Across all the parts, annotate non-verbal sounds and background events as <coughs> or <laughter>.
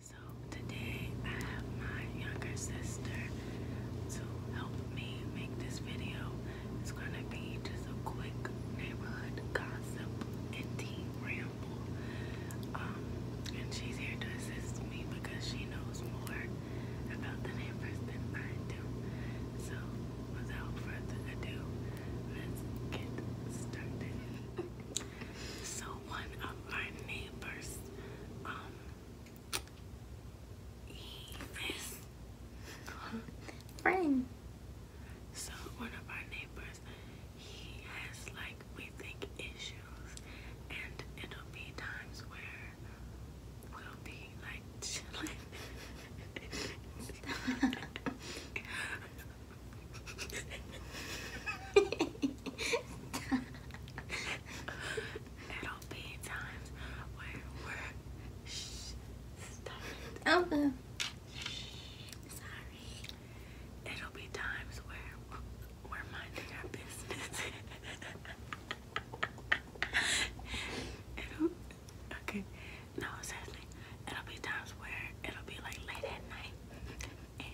So today I have my younger sister to help me make this video. It's gonna be just a quick neighborhood gossip and tea ramble. Um, and she's here to assist me because she knows more about the neighbors than I do. So without further ado, let's get started. <laughs> So one of our neighbors neighbors. Um, friend. So one of our neighbors, he has like we think issues, and it'll be times where we'll be like <laughs> chilling. <laughs> <laughs> It'll be times where we're shh stop it. sorry. It'll be times where we're minding our business. it'll okay. No, seriously. It'll be times where it'll be like late at night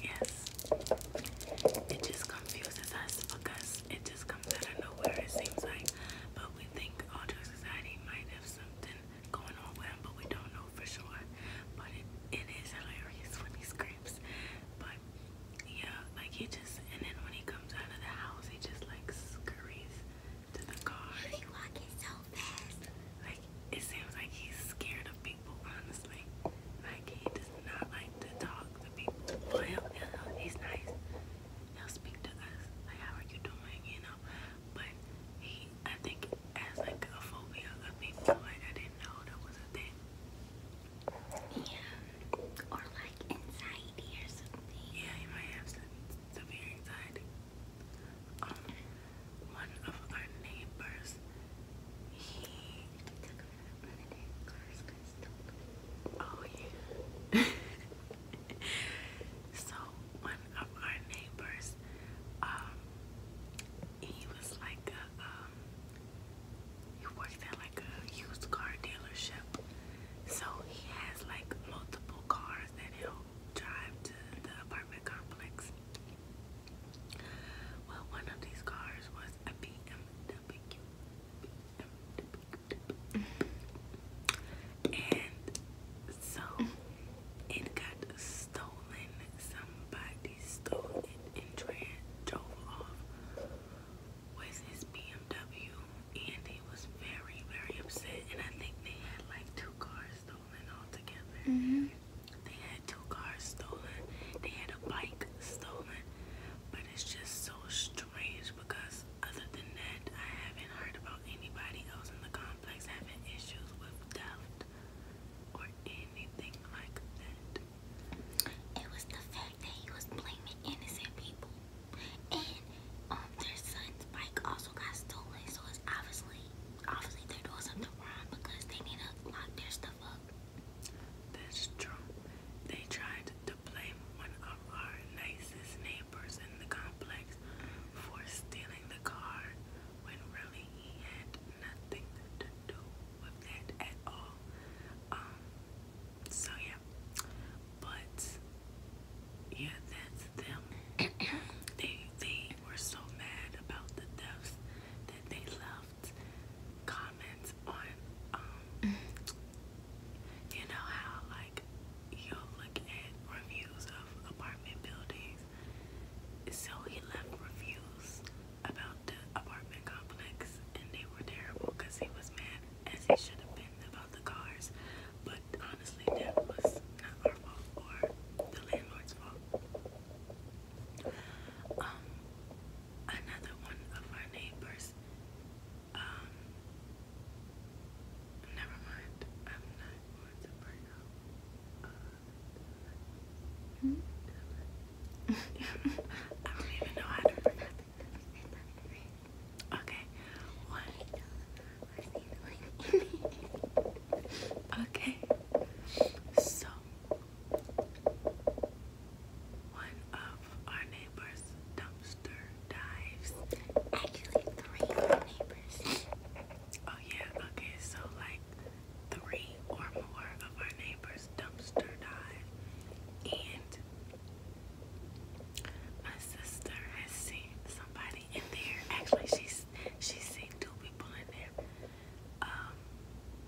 Yes. It just confuses us because it just comes out of nowhere, it seems like. But we think all drug society might have something going on with him, but we don't know for sure. But it is hilarious when he screams. But yeah, like he just, and then when he comes out of the house, he just like scurries to the car. He's walking so fast. Like it seems like he's scared of being people, honestly. My kid does not like to talk to people. Well, he'll, he'll, he's nice. He'll speak to us, like, how are you doing, you know? But he, I think, has like a phobia of people. Like, I didn't know that was a thing. Yeah. Or like anxiety or something. Yeah, he might have some severe anxiety one of our neighbors, he took her to cars got stolen. Oh yeah. <laughs> so one of our neighbors, um, he was like a, um, he worked at like a used car dealership. So he has like multiple cars that he'll drive to the apartment complex. Well, one of these cars was a BMW. BMW. And so it got stolen. Somebody stole it and tra drove off with his BMW. And he was very, very upset. And I think they had like two cars though stolen altogether. Mm -hmm. They had two cars stolen. They had a bike stolen. But it's just so strange because other than that, I haven't heard about anybody else in the complex having issues with theft or anything like that. It was the fact that he was blaming innocent people. And um, their son's bike also got stolen, so it's obviously obviously they're doing something wrong because they need to lock their stuff up. That's true. They tried to blame one of our nicest neighbors in the complex for stealing the car when really he had nothing to do with that at all. Um, so yeah. But yeah, that's them <coughs> they they were so mad about the deaths that they left comments on um mm. you know how like you'll look at reviews of apartment buildings. So he left reviews about the apartment complex and they were terrible because he was mad as he should have been about the cars. But honestly, that was not our fault or the landlord's fault. Um, another one of our neighbors, um, never mind, I'm not going to bring up. Uh, hmm? <laughs> I don't even know how to pronounce it. <laughs> Okay, one okay, <laughs> so one of our neighbors' dumpster dives. Actually, three neighbors. Oh, yeah, okay, so like three or more of our neighbors' dumpster dive, and my sister has seen somebody in there. Actually, she's because she's seen two people in there. Um,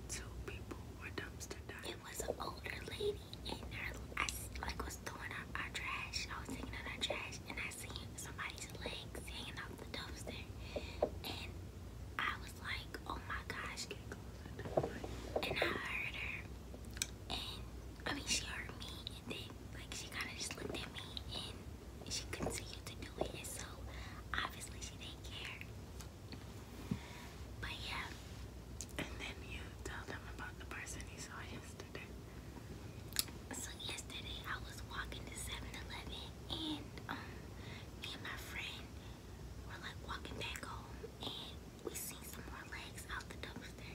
two people were dumpster It was an older lady, and her, I like was throwing out our trash. I was taking out our trash, and I seen somebody's legs hanging off the dumpster, and I was like, "Oh my gosh!" And I heard her, and I mean, she heard me, and then like she kind of just looked at me, and she couldn't continued to do it, so obviously she didn't care. But yeah. And then you tell them about the person you saw yesterday. So yesterday I was walking to 7 and um and my friend were like walking back home and we seen some more legs out the dumpster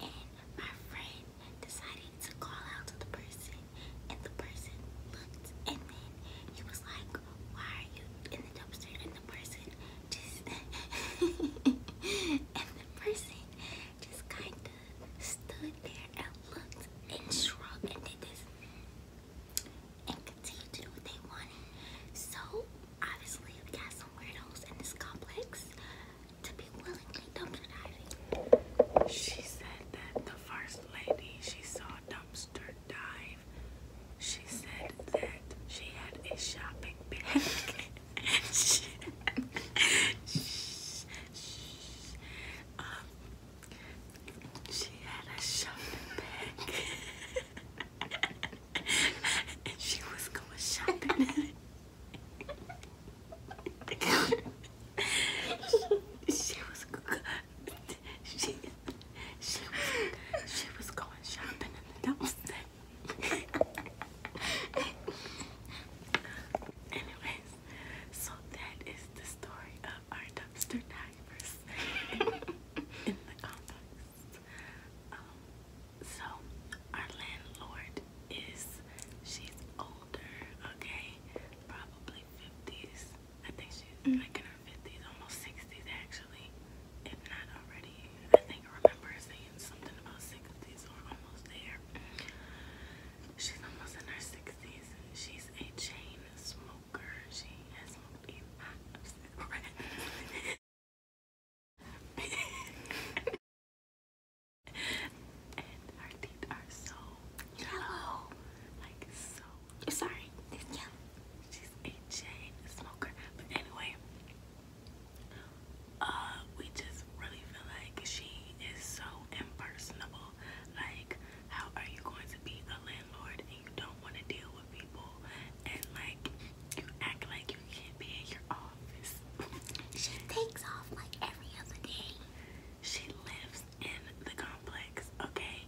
and my friend decided to call out to the person, and the person looked, and then he was like, "Why are you in the dumpster?" And the person just, <laughs> and the person just kind of stood there and looked and shrugged and did this and continued to do what they wanted. So obviously we got some weirdos in this complex. She said that the first lady she saw dumpster dive, she said that she had a shopping bag. she, she, she, um, she had a shopping bag. and she was going shopping she was going shopping in the dumpster. Anyways, so that is the story of our dumpster divers in, the complex. Um, so our landlord is she's older, okay? Probably 50s. I think she's mm like in her 50s, almost 60s actually, if not already. I think I remember saying something about 60s or almost there. She's almost in her 60s. She's a chain smoker. She has smoked a lot of cigarettes. <laughs> and her teeth are so yellow. Like so. Sorry. Yeah. She's a chain smoker. But anyway, uh, we just really feel like she is so impersonable. Like, how are you going to be a landlord and you don't want to deal with people and like you act like can't be in your office. she takes off like every other day. She lives in the complex, okay?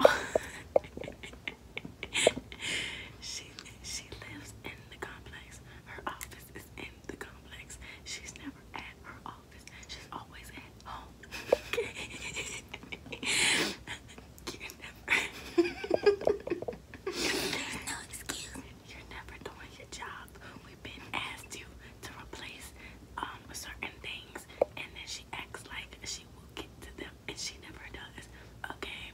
<laughs> she she lives in the complex. Her office is in the complex. She's never at her office. She's always at home. <laughs> you <laughs> There's no excuse. You're never doing your job. We've been asked you to replace um certain things, and then she acts like she will get to them, and she never does. Okay,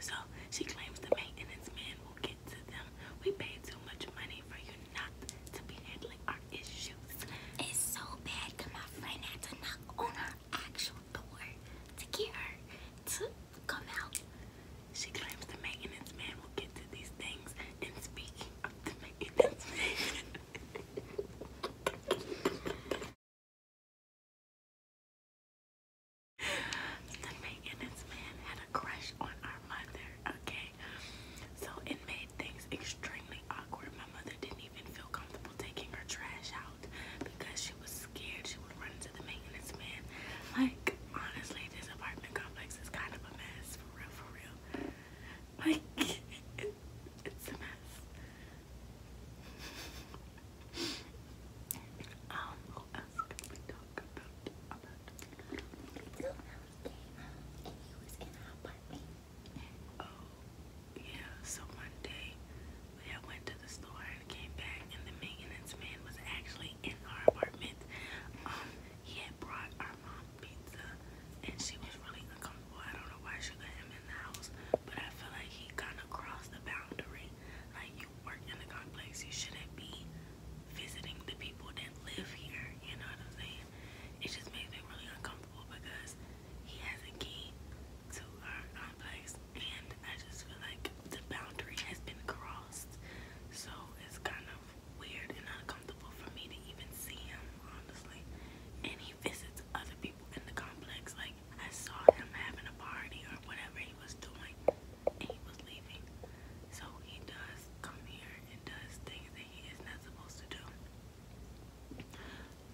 so she claims the maintenance man will get to them. We pay too much money for you not to be handling our issues. It's so bad that my friend had to knock on her actual door to get her to come out. She claims the maintenance man will get to these things. And speak of the maintenance man, the maintenance man had a crush on our mother, okay? So it made things extremely awkward. My mother didn't even feel comfortable taking her trash out because she was scared she would run to the maintenance man. Like, honestly, this apartment complex is kind of a mess, for real, for real. Like, it, it's a mess. Um, who else can we talk about? about? Who else came out and he was in our apartment? Oh, yeah, so one day we had went to the store Byron came back and the maintenance man was actually in our apartment. Um, he had brought our mom pizza and she was really uncomfortable. I don't know why she let him in the house, but I feel like he kind of crossed the boundary. Like you work in the complex, you shouldn't be visiting the people that live here. You know what I'm saying? It just made me really uncomfortable because he has a key to our complex and I just feel like the boundary has been crossed. So it's kind of weird and uncomfortable for me to even see him, honestly. And he visits other people in the complex. Like, I saw him having a party or whatever he was doing, and he was leaving. So he does come here and does things that he is not supposed to do.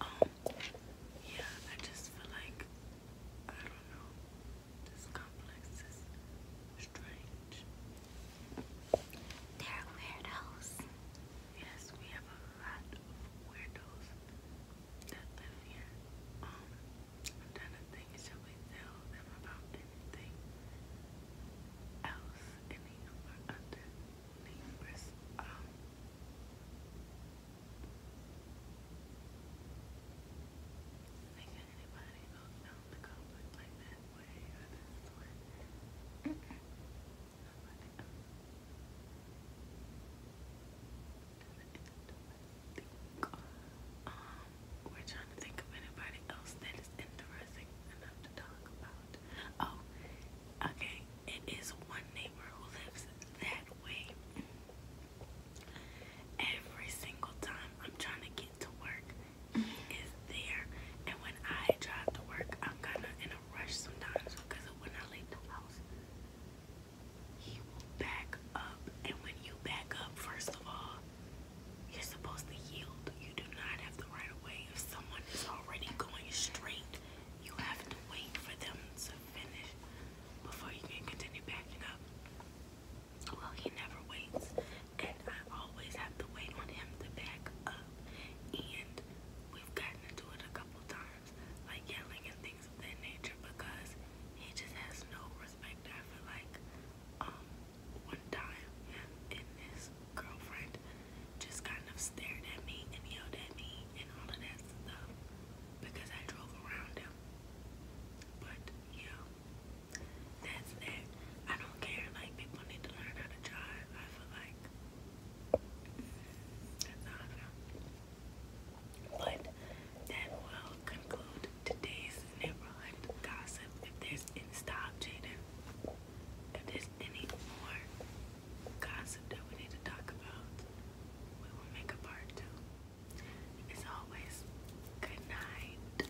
Um, yeah, I just feel like, I don't know. This complex is strange. They're weirdos. Yes, we have a lot of weirdos that live here. I'm um, trying to think, should we tell them about anything else? Any of our other I think anybody goes down the like that way we're trying to think of anybody else that is interesting enough to talk about. Oh, okay. It is one neighbor who lives that way every single time I'm trying to get to work, he mm-hmm. is there. And when I drive to work, I'm kind of in a rush sometimes because when I leave the house, he will back up. And when you back up, first of all, you're supposed to yield. You do not have the right of If someone is already going straight, you have to wait for them to finish before you can continue backing up. Well, he never waits, and I always have to wait on him to back up. And we've gotten into it a couple times, like yelling and things of that nature, because he just has no respect. I feel like um, one time his girlfriend just kind of stared at me and yelled at me and all of that stuff because I drove around him but yeah, that's that. I don't care. Like people need to learn how to drive. I feel like that's how I But that will conclude today's neighborhood gossip. If there's any stop, Jaden. If there's any more gossip that we need to talk about, we will make a part two. It's always, good night,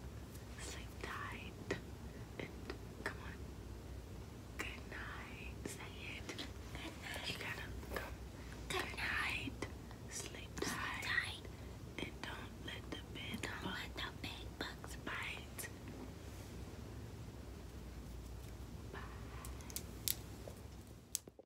sleep tight, come on. Good night, say it. Good night. You gotta come. Good, night. sleep tight, and don't let the bed don't let the big bugs bite. Bye.